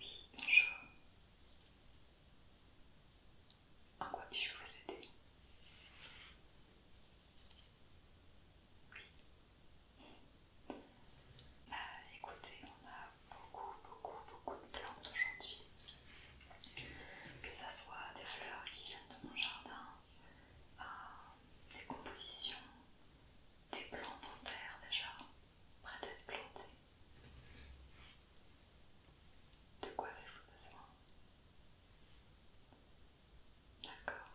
Oui, bonjour. En quoi puis-je vous aider Oui. Bah écoutez, on a beaucoup, beaucoup, beaucoup de plantes aujourd'hui. Que ça soit des fleurs qui viennent de mon jardin, euh, des compositions, des plantes en terre déjà, prêtes à être plantées. De quoi avez-vous besoin D'accord.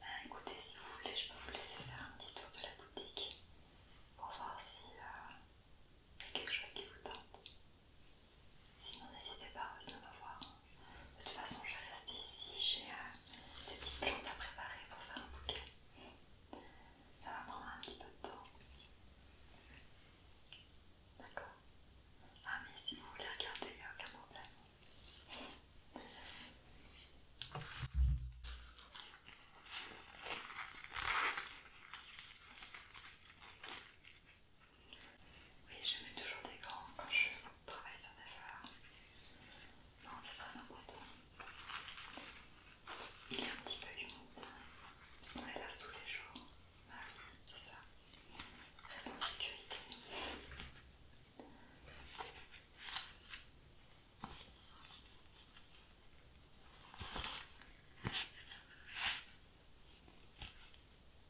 Ben, écoutez, si vous voulez, je peux vous laisser faire un petit tour de la boutique pour voir si euh, il y a quelque chose qui vous tente. Sinon, n'hésitez pas à venir me voir. De toute façon, je vais rester ici. J'ai euh, des petites plantes à préparer pour faire un bouquet. Ça va prendre un petit peu de temps. D'accord Ah, mais si vous voulez regarder, il n'y a aucun problème. Oui, je mets toujours des gants quand je travaille sur des fleurs. Non, c'est très important. Il est un petit peu humide, parce qu'on les lave tous les jours. Voilà, ah c'est ça. Raison de sécurité.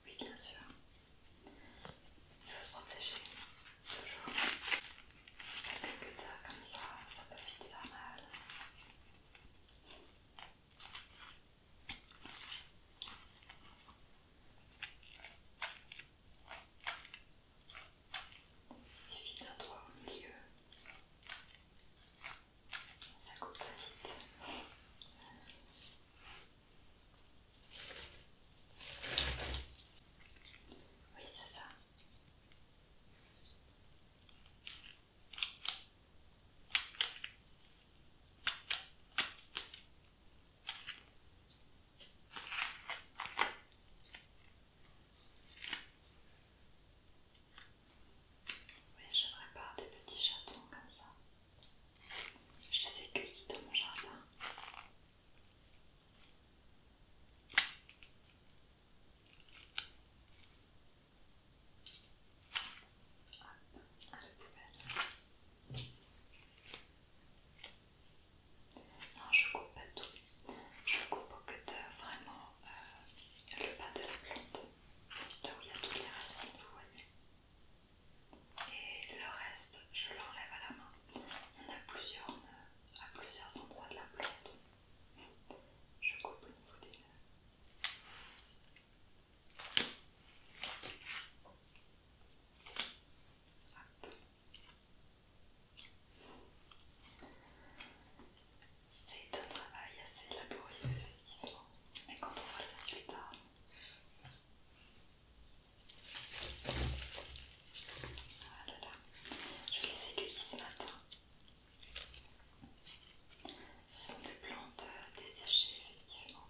Oui, bien sûr. Il faut se protéger, toujours. Parce qu'un cutter comme ça, ça peut vite faire mal. Il suffit d'un doigt au milieu. Ça coupe pas vite. Oui, c'est ça. Oui, j'aimerais pas des petits chatons comme ça. Je les ai cueillis dans mon jardin. Non, je coupe pas tout. Je coupe au de vraiment euh, le bas de la plante, là où il y a toutes les racines, vous voyez. Et le reste, je l'enlève à la main. On a plusieurs euh, à plusieurs endroits de la plante. Je coupe au niveau des C'est un travail assez laborieux, effectivement. Mais quand on voit le résultat, hein. ah Je là les ai ce matin. Ce sont des plantes euh, desséchées effectivement.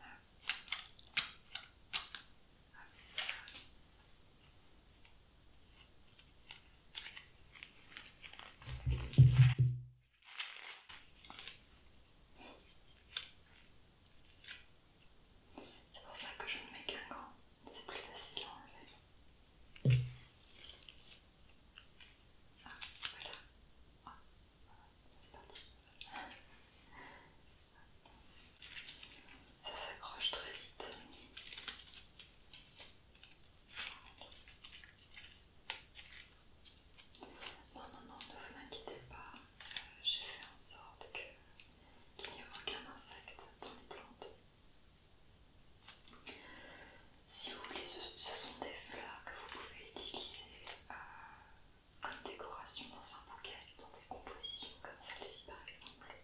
Ah. Ah. C'est pour ça que je me mets qu'un gant, c'est plus facile à enlever. Ah, ah, voilà. c'est parti tout seul. Ça s'accroche très vite. Non, non, non, ne vous inquiétez pas, euh, j'ai fait en sorte qu'il n'y ait aucun insecte dans les plantes. Si vous voulez, ce, sont des fleurs que vous pouvez utiliser euh, comme décoration dans un bouquet, dans des compositions comme celle-ci par exemple.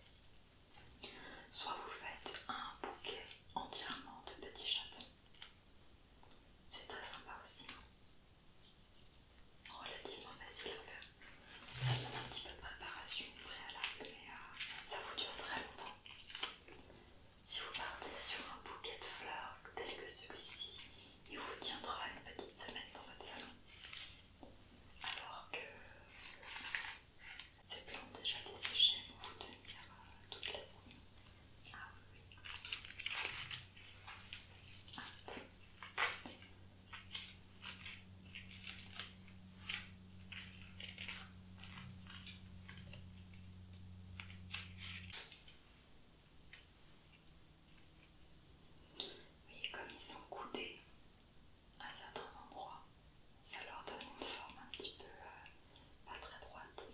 Soit vous faites un bouquet entièrement de petits chatons. C'est très sympa aussi. Relativement oh, facile à faire. Ça demande un petit peu de préparation préalable, mais euh, ça vous dure très longtemps. Si vous partez sur un bouquet de fleurs tel que celui-ci, il vous tiendra une petite semaine dans votre salon. Alors que ces plantes déjà desséchées vont vous tenir euh, toute la Ah oui, Oui, comme ils sont coudés, à certains endroits, ça leur donne une forme un petit peu euh, pas très droite.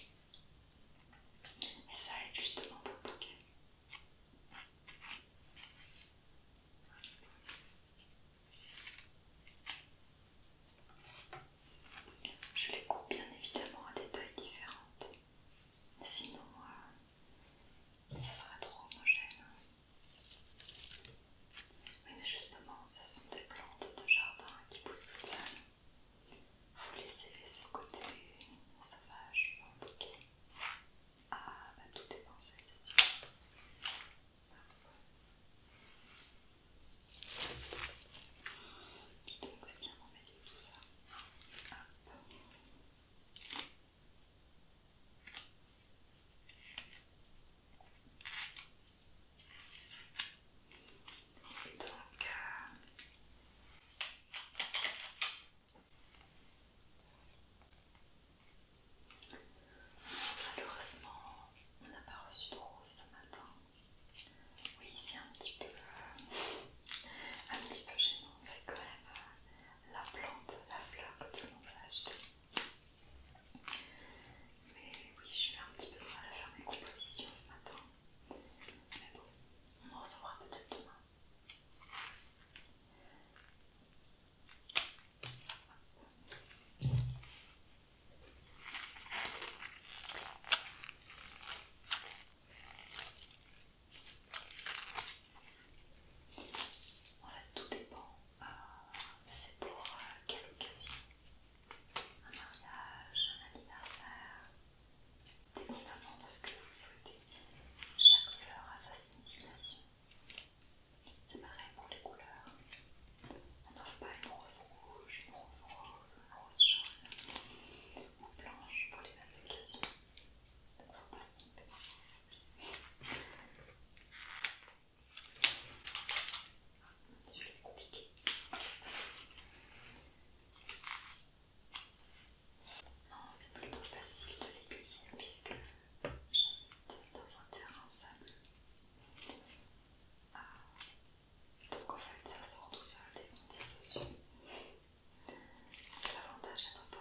Et ça aide justement pour le bouquet. Je les coupe bien évidemment à des tailles différentes. Sinon, euh, ça sera trop homogène. Oui, mais justement, ce sont des plantes de jardin qui poussent tout seul. Vous laissez ce côté sauvage compliqué, Ah, bah, tout est pensé, c'est sûr. donc, c'est bien d'enlever tout ça donc, malheureusement, on n'a pas reçu de rose ce matin. Oui, c'est un petit peu, euh, un petit peu gênant. C'est quand même euh, la plante, la fleur que tout le monde va acheter. Mais oui, je vais un petit peu mal à faire mes compositions ce matin. Mais bon, on en recevra peut-être demain. Voilà, tout dépend euh, c'est pour euh, quelle occasion Un mariage, un anniversaire Dépendamment de ce que vous souhaitez, chaque fleur a sa signification. C'est pareil pour les couleurs. On n'offre pas une rose rouge, une rose rose, une rose jaune ou blanche pour les mêmes occasions. faut pas se tromper. Non, c'est plutôt facile de l'aiguiller puisque j'habite dans un terrain sable. Ah. Donc en fait, ça sort tout seul et on tire dessus. C'est l'avantage d'être un peu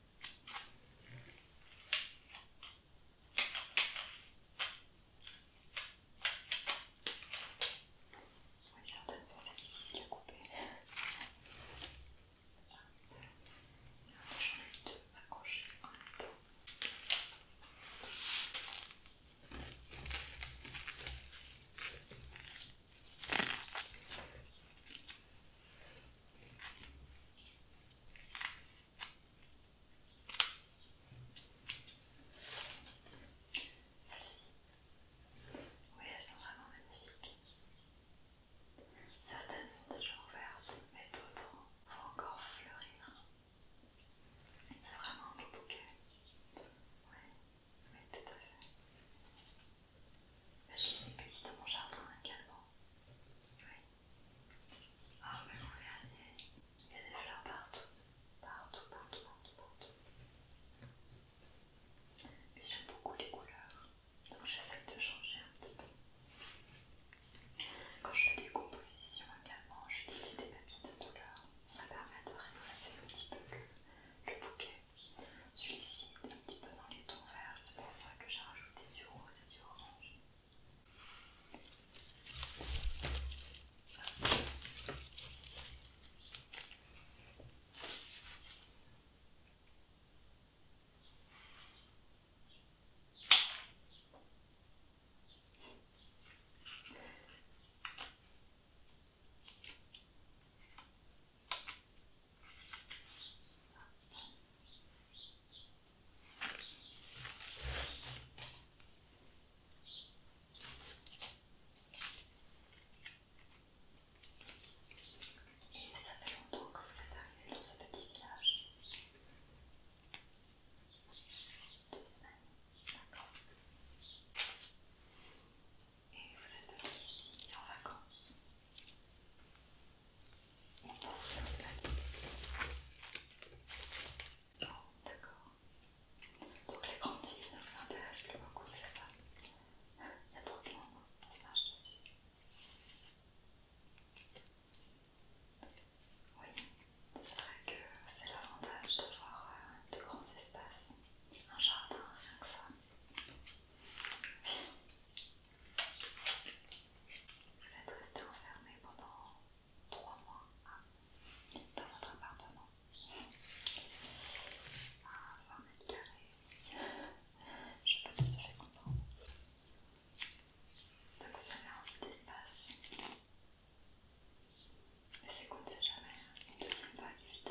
Regarde, attention, c'est difficile à couper. J'en ai deux accrochés en celles-ci, oui, elles sont vraiment magnifiques. Certaines sont déjà ouvertes, mais d'autres vont encore fleurir. C'est vraiment un beau bouquet. Oui, oui, tout à fait. Je les ai dans mon jardin également. Oui. Ah, il y a des fleurs partout. Partout, partout, partout, partout. Mais j'aime beaucoup les couleurs. Donc j'essaie de changer un petit peu. Quand je fais des compositions également, j'utilise des papilles de couleur. Ça permet de rehausser un petit peu le bouquet. Celui-ci est un petit peu dans les tons verts, c'est pour ça que j'ai rajouté du rose et du orange. Et ça fait longtemps que vous êtes arrivé dans ce petit village Deux semaines, Et vous êtes ici en vacances on Oh, d'accord. Donc les grandes villes ne vous intéressent plus beaucoup, c'est pas. Il y a trop de monde, ça je dessus. Oui, c'est vrai que c'est l'avantage d'avoir euh, de grands espaces, un jardin, rien que ça. Oui, vous êtes resté enfermé pendant 3 mois hein, dans votre appartement. Ah, 20 mètres carrés. Je suis pas tout à fait contente. Donc vous avez envie d'espace. Mais c'est qu'on ne sait jamais. Hein. Une deuxième vague vite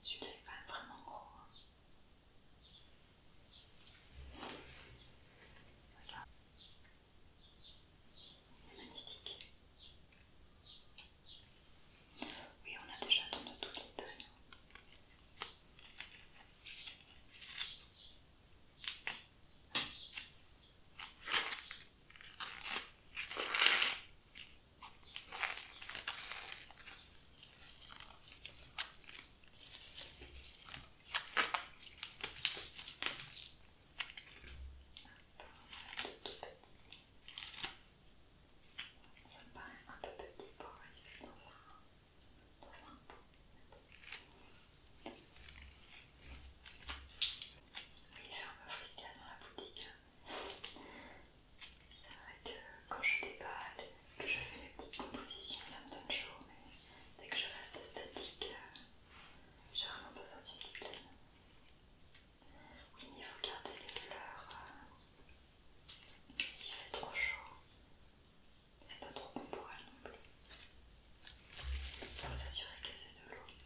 Celui-là est vraiment gros. magnifique. Hein. Oui, on a déjà tout détail tout petit. Ça me paraît un peu petit pour arriver dans un, dans un pot. Oui, j'ai un peu a dans la boutique. Hein. C'est vrai que quand je déballe, que je fais les petites compositions, ça me donne chaud, mais dès que je reste statique, euh, j'ai vraiment besoin d'une petite laine. Oui, il faut garder les fleurs. Euh, s'il fait trop chaud, c'est pas trop bon pour elles non plus. Il faut s'assurer qu'elle aient de l'eau. C'est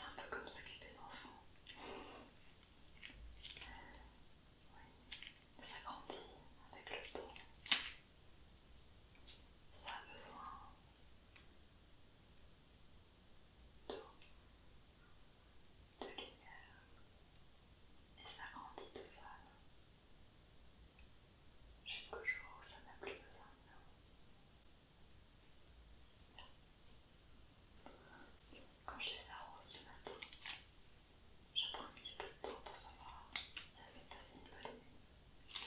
un peu comme s'occuper d'enfants. Oui, ça grandit avec le temps. Ça a besoin d'eau, de lumière, et ça grandit tout seul jusqu'au jour où ça n'a plus besoin de Quand je les arrose le matin, je prends un petit peu de temps pour savoir si elles sont passées une bonne nuit.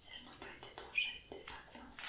Si elles n'ont pas été trop chahutées par les insectes.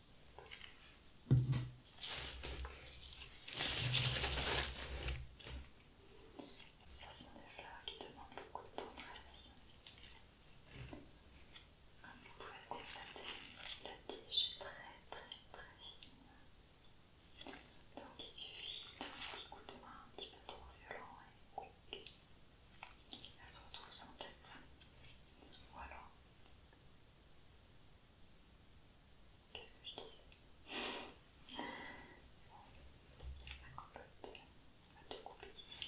Ce sont des fleurs qui demandent beaucoup de tendresse. Comme vous pouvez le constater, la tige est très très très fine. Donc il suffit d'un petit coup de main un petit peu trop violent et coupe. Elle se retrouve sans tête. Voilà. Qu'est-ce que je disais La cocotte, on va te couper ici.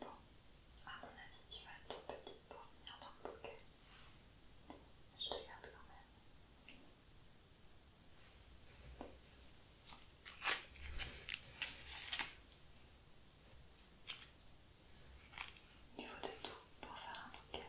Bon, à mon avis, tu vas être trop petite pour venir dans le bouquet. Je te garde quand même. Niveau de tout pour faire un bouquet.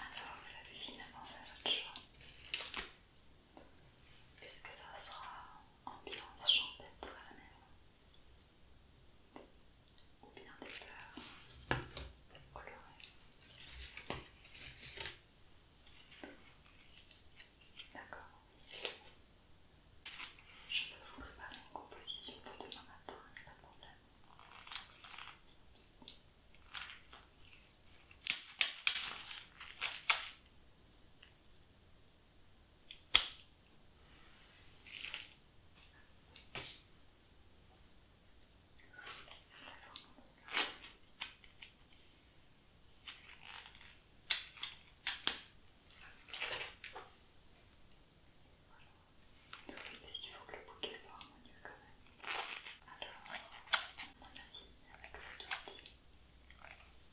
Alors, vous avez finalement fait votre choix. Est-ce que ça sera ambiance champêtre à la maison ou bien des fleurs colorées. D'accord. Je peux vous préparer une composition pour demain matin, il problème est Parce qu'il faut que le bouquet soit harmonieux quand même. Alors, à mon avis, avec deux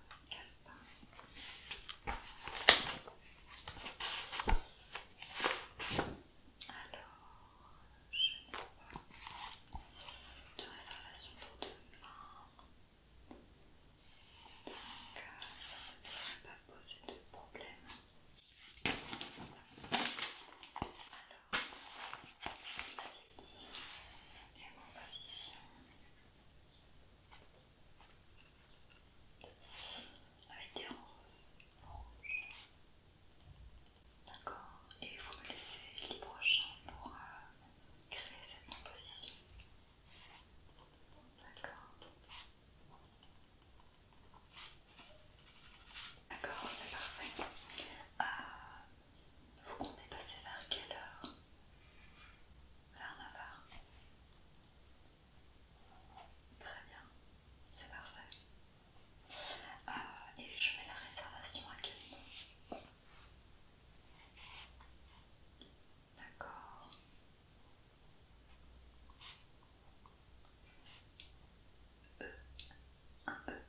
Alors, je n'ai pas de réservation pour demain. Donc, euh, ça ne devrait pas poser de problème. Alors, on et dit les compositions avec des roses rouges. D'accord, et vous me laissez libre champ pour euh, créer cette composition. D'accord. D'accord, c'est parfait. Euh, vous comptez passer vers quelle heure Vers 9h. Très bien, c'est parfait. Euh, et je mets la réservation à quel nom D'accord. E, un E,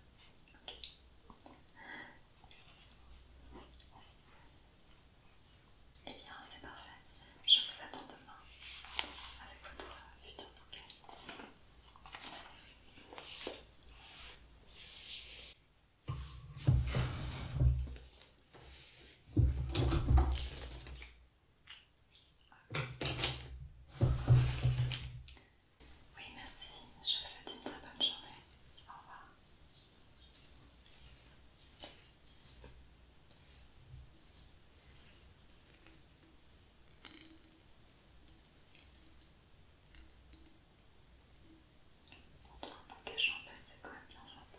ok. Eh bien, c'est parfait. Je vous attends demain avec votre futur bouquet. Oui, merci. Je vous souhaite une très bonne journée. Au revoir. Pourtant, un bouquet champagne, c'est quand même bien sympa.